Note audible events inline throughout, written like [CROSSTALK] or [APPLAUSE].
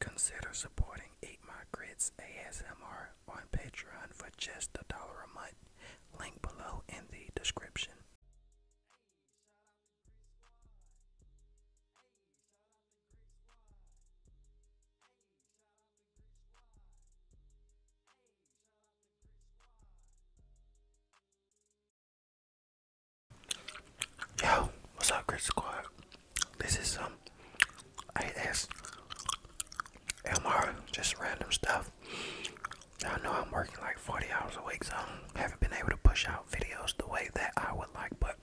Consider supporting Eat My Grits ASMR on Patreon for just a dollar a month. Link below in the description. Yo, what's up, Chris Squad? This is um, AS LMR, just random stuff. I know I'm working like 40 hours a week, so I haven't been able to push out videos the way that I would like, but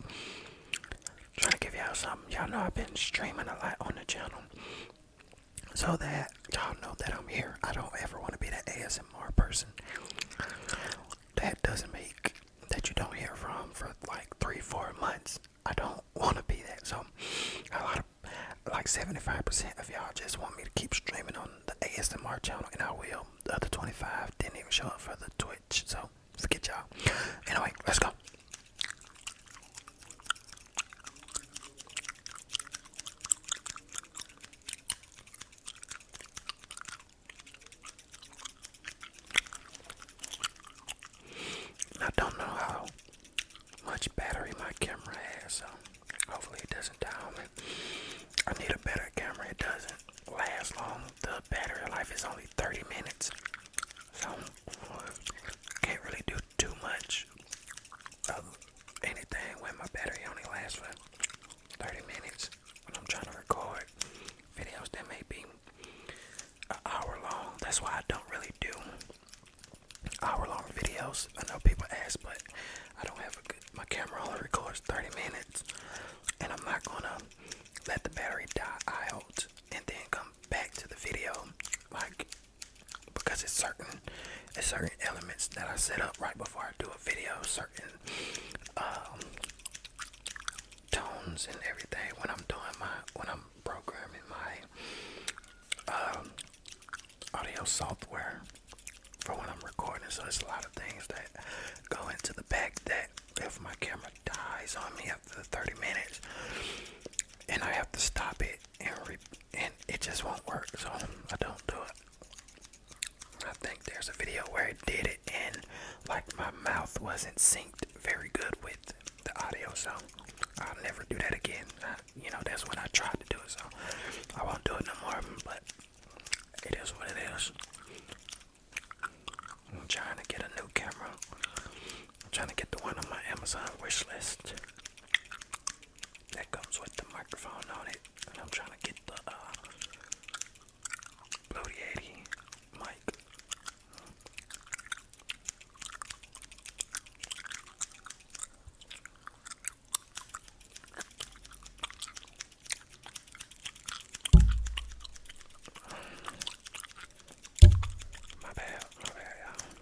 trying to give y'all something. Y'all know I've been streaming a lot on the channel. So that y'all know that I'm here. I don't ever want to be that ASMR person. That doesn't make that you don't hear from for like three, four months. I don't want to be that. So, a lot of like 75% of y'all just want me to keep streaming on the ASMR channel, and I will. The other 25 didn't even show up for the Twitch, so forget y'all. Anyway, let's go. I don't know how much battery my camera has, so hopefully it doesn't die on me. I need a better camera. It doesn't last long. The battery life is only 30 minutes, so can't really do too much of anything when my battery only lasts for 30 minutes. I'm trying to record videos that may be an hour long. That's why I don't really do hour long videos. I know people ask, but I don't have a good, my camera only records 30 minutes, and I'm not gonna let the battery die out and then come back to the video like because it's certain it's certain elements that I set up right before I do a video certain um, tones and everything when I'm doing my when I'm programming my um, audio software for when I'm recording. So there's a lot of things that go into the back that if my camera dies on me after 30 minutes and I have to stop it and re and it just won't work. So I don't do it. I think there's a video where I did it and like my mouth wasn't synced very good with the audio, so I'll never do that again. you know, that's when I tried to do it, so I won't do it no more. But it is what it is. I'm trying to get a new camera. I'm trying to get the one on my Amazon wish list that comes with the microphone on it, and I'm trying to get the uh, Bloody 80, Mike. My bad, my bad, you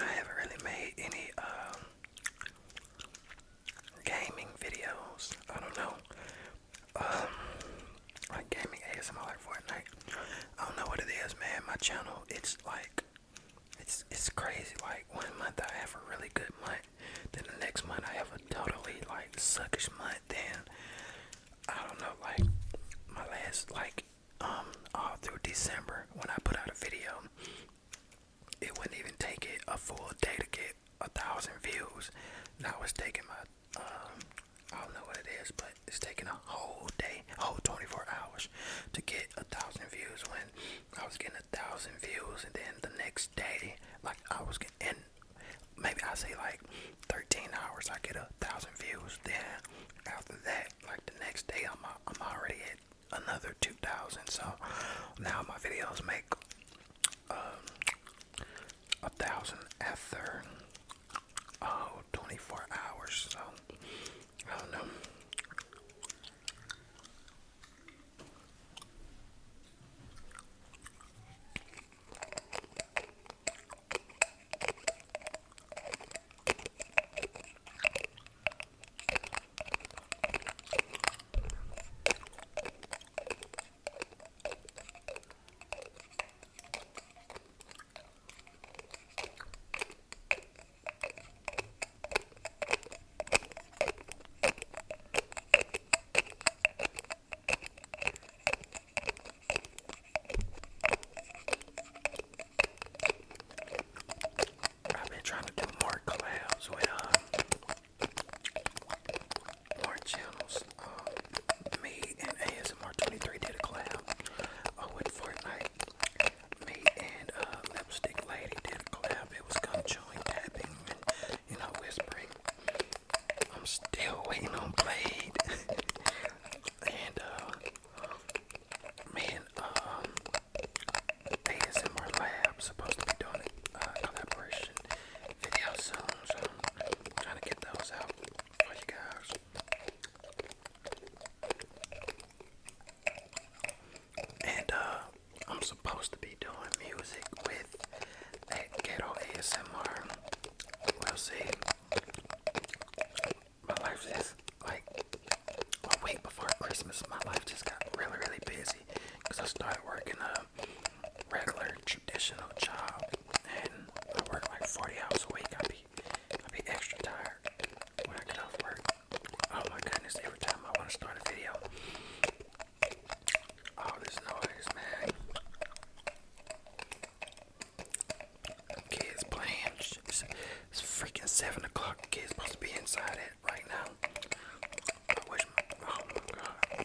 I haven't really made any um, gaming videos. I don't know. Um, like gaming ASMR like Fortnite. I don't know what it is, man. My channel, it's like, it's it's crazy. Like one month I have a really good month, then the next month I have a totally like suckish month. Then I don't know, like my last like um all through December when I put out a video, it wouldn't even take it a full day to get a thousand views. Now it's taking my um, I don't know what it is, but it's taking a whole day, whole 24 hours to get a thousand views. When I was getting a thousand views, and then the next day, like I was getting, maybe I say like 13 hours, I get a thousand views. Then after that, like the next day, I'm I'm already at another 2,000. So now my videos make um, a thousand ether oh 24 hours so I don't know I've been trying to do more collabs with um more channels. Um, me and ASMR23 did a collab uh, with Fortnite. Me and uh, Lipstick Lady did a collab. It was gum chewing, tapping, you know, whispering. I'm still waiting on Blade. [LAUGHS] and uh, ASMR um, Lab supposed to be doing a uh, collaboration video soon, trying to get those out. Hoş geldiniz. And uh, I'm supposed to be doing music with that ghetto ASMR. We'll see. My life is like a week before Christmas. My life just got really, really busy because I started working a regular traditional job and I work like 40 hours a week, i be, i be extra tired when I get off work. Oh my goodness, every time I want to start a video, all this noise, man. Kids playing. It's, freaking 7 o'clock. Kids supposed to be inside it right now. I wish Oh my god.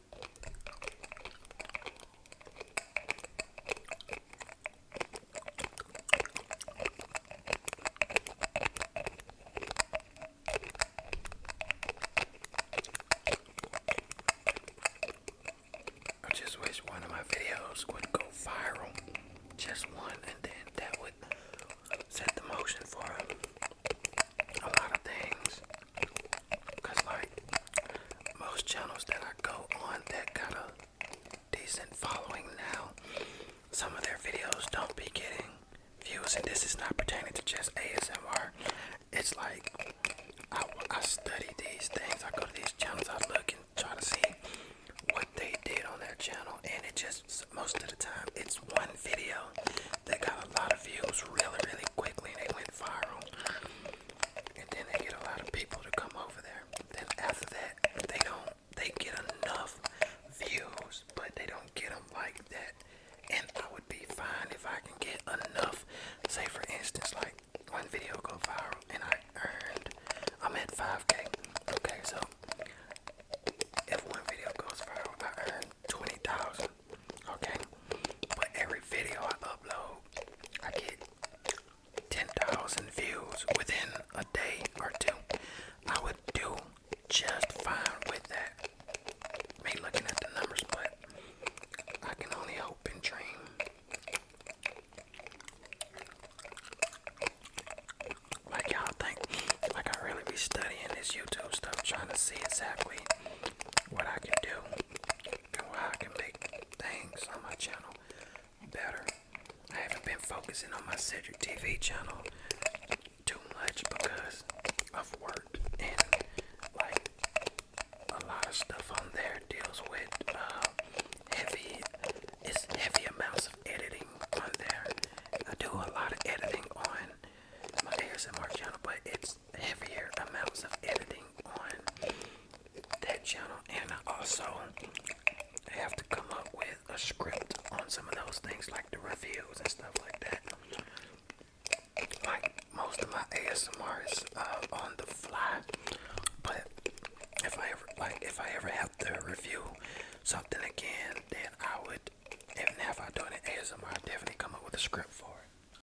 I just wish one of my videos would go viral. Just one, and then that would set the motion for a lot of things. Cause like most channels that I go on that got a decent following now, some of their videos don't be getting views, and this is not pertaining to just ASMR. It's like I, I study these things. I go to these channels. I look and try to see what they did on their channel, and it just most of the time it's one video that got a lot of views really, really quickly, and they went viral and then they get a lot of people to come over there. Then after that, they don't they get enough views, but they don't get them like that. And I would be fine if I can get enough. Say for instance, like one video go viral and I earned I'm at 5k. Okay, so if one video goes viral, I earn 20,000. Okay, but every video I upload I get 10,000 views within a day or two, I would do just fine with that. Me looking at the numbers, but I can only hope and dream. Like y'all think, like I really be studying this YouTube stuff, trying to see exactly what I can do and I can make things on my channel better. I haven't been focusing on my Cedric TV channel too much because of work and like a lot of stuff on there deals with uh, heavy, it's heavy amounts of editing on there. I do a lot of editing on my ASMR channel, but it's heavier amounts of editing on that channel, and I have to come up with a script on some of those things, like the reviews and stuff like that. Like most of my ASMR is uh, on the fly, but if I ever like, if I ever have to review something again, then I would. if I do an ASMR, I definitely come up with a script for it.